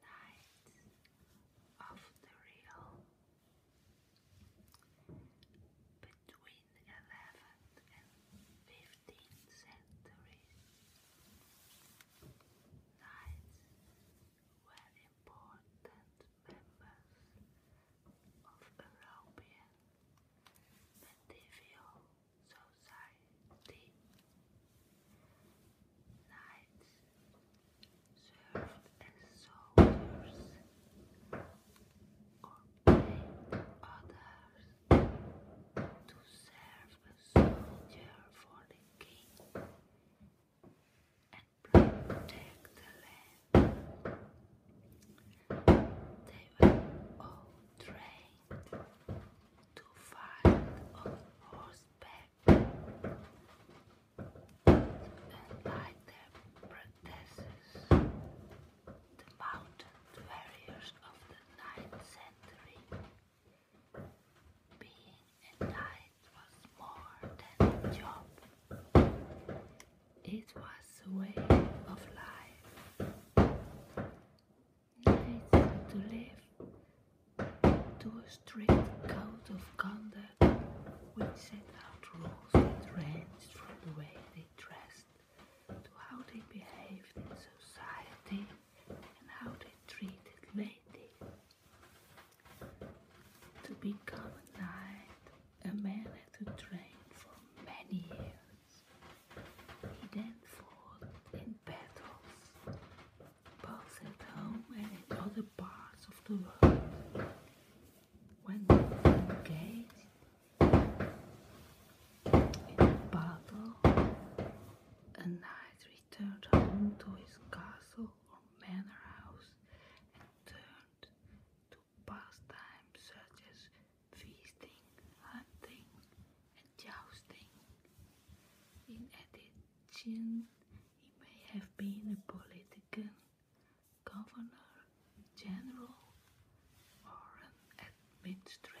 Night of the Real between 11 and 15 15th century. Knights were important members of European medieval society. Knights served as soldiers or others to serve a soldier for the king and protect the land. They were all trained to fight on horseback, and like their predecessors, the mountain warriors of the ninth century and three. Being was more than a job. It was a way of life. Nice to live to a strict code of conduct which set out rules that ranged from the way they dressed to how they behaved in society and how they treated ladies. To become a knight, a man had to train for many years. He then fought in battles, both at home and in other parts of the world. When engaged, in battle, and knight returned home to his castle or manor house and turned to pastimes such as feasting, hunting, and jousting. In addition, he may have been a politician, governor, general or an administrator.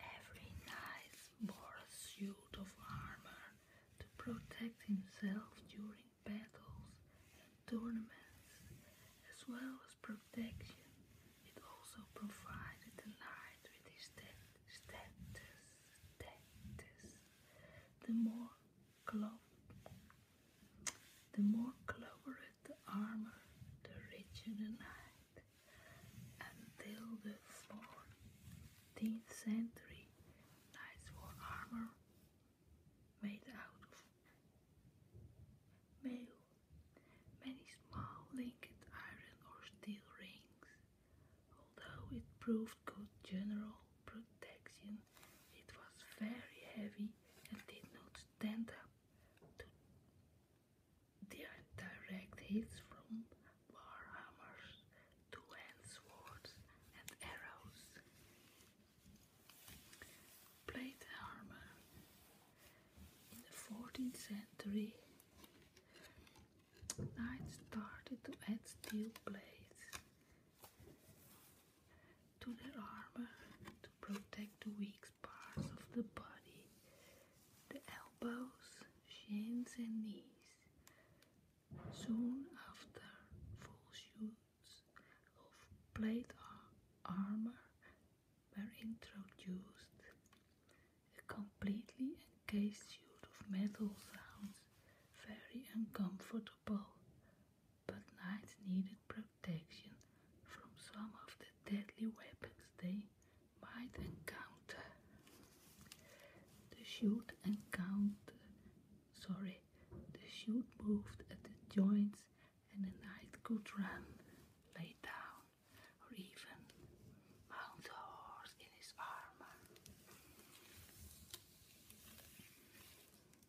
Every knight wore a suit of armor to protect himself during battles and tournaments, as well as protection. It also provided the knight with his status. The more clo the more clobberet armor, the rich in the night, until the 14th century, knights wore armor made out of metal, many small linked iron or steel rings. Although it proved good general protection, it was very heavy and did not stand up to they are direct hits from warhammers, two-hand swords and arrows. Plate armor. In the 14th century, knights started to add steel blades to their armor to protect the weak parts of the body the elbows, shins, and knees. Soon after, full suits of plate armor were introduced, a completely encased suit of metal sounds very uncomfortable, but knights needed protection protection from some of the deadly weapons they might encounter. The shoot encounter, sorry, the shoot moved at the joints and the knight could run, lay down, or even mount a horse in his armor.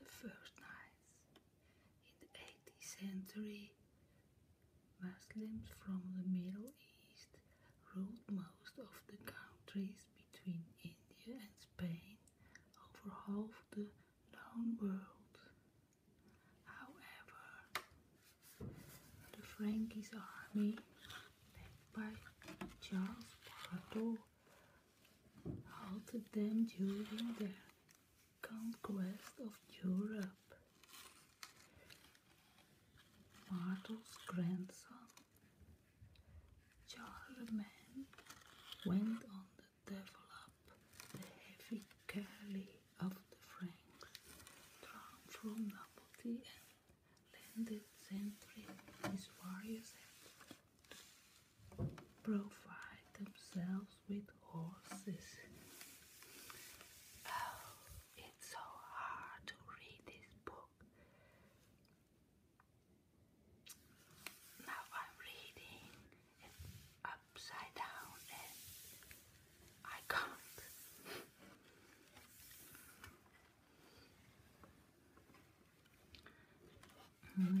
the first nights. In the 18th century, Muslims from the Middle East ruled most of the countries between India and Spain over half the known world. However, the Frankish army, led by Charles Poitou, halted them during the conquest of Europe. Martel's grandson, Charlemagne, went on to develop the heavy curly of the Franks, drawn from Napoli and landed century his warriors provide themselves with horses. Oh, it's so hard to read this book. Now I'm reading upside down and I can't. In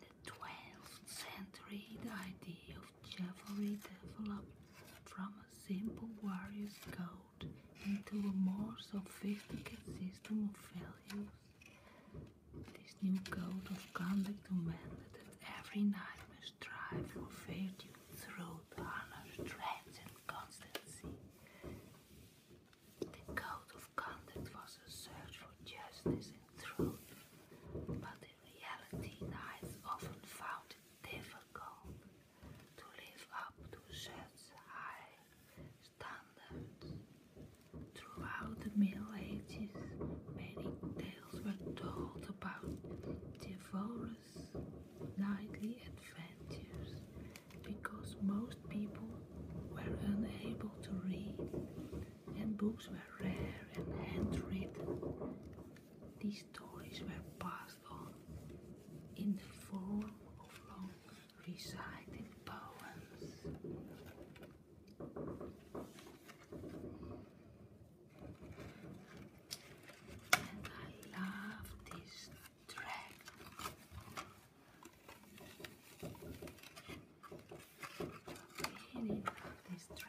the 12th century, the idea of chivalry developed from a simple warrior's code into a more sophisticated system of values. This new code of conduct demanded that every knight must strive for virtue, truth, honor, strength, and constancy. The code of conduct was a search for justice and truth, but in reality, knights often found it difficult to live up to such high standards. Throughout the Middle Ages, many tales were told about chivalrous nightly adventures because most people were unable to read and books were rare and hand-written. These stories were passed on in the form of long recited poems. And I love this track. I love this track.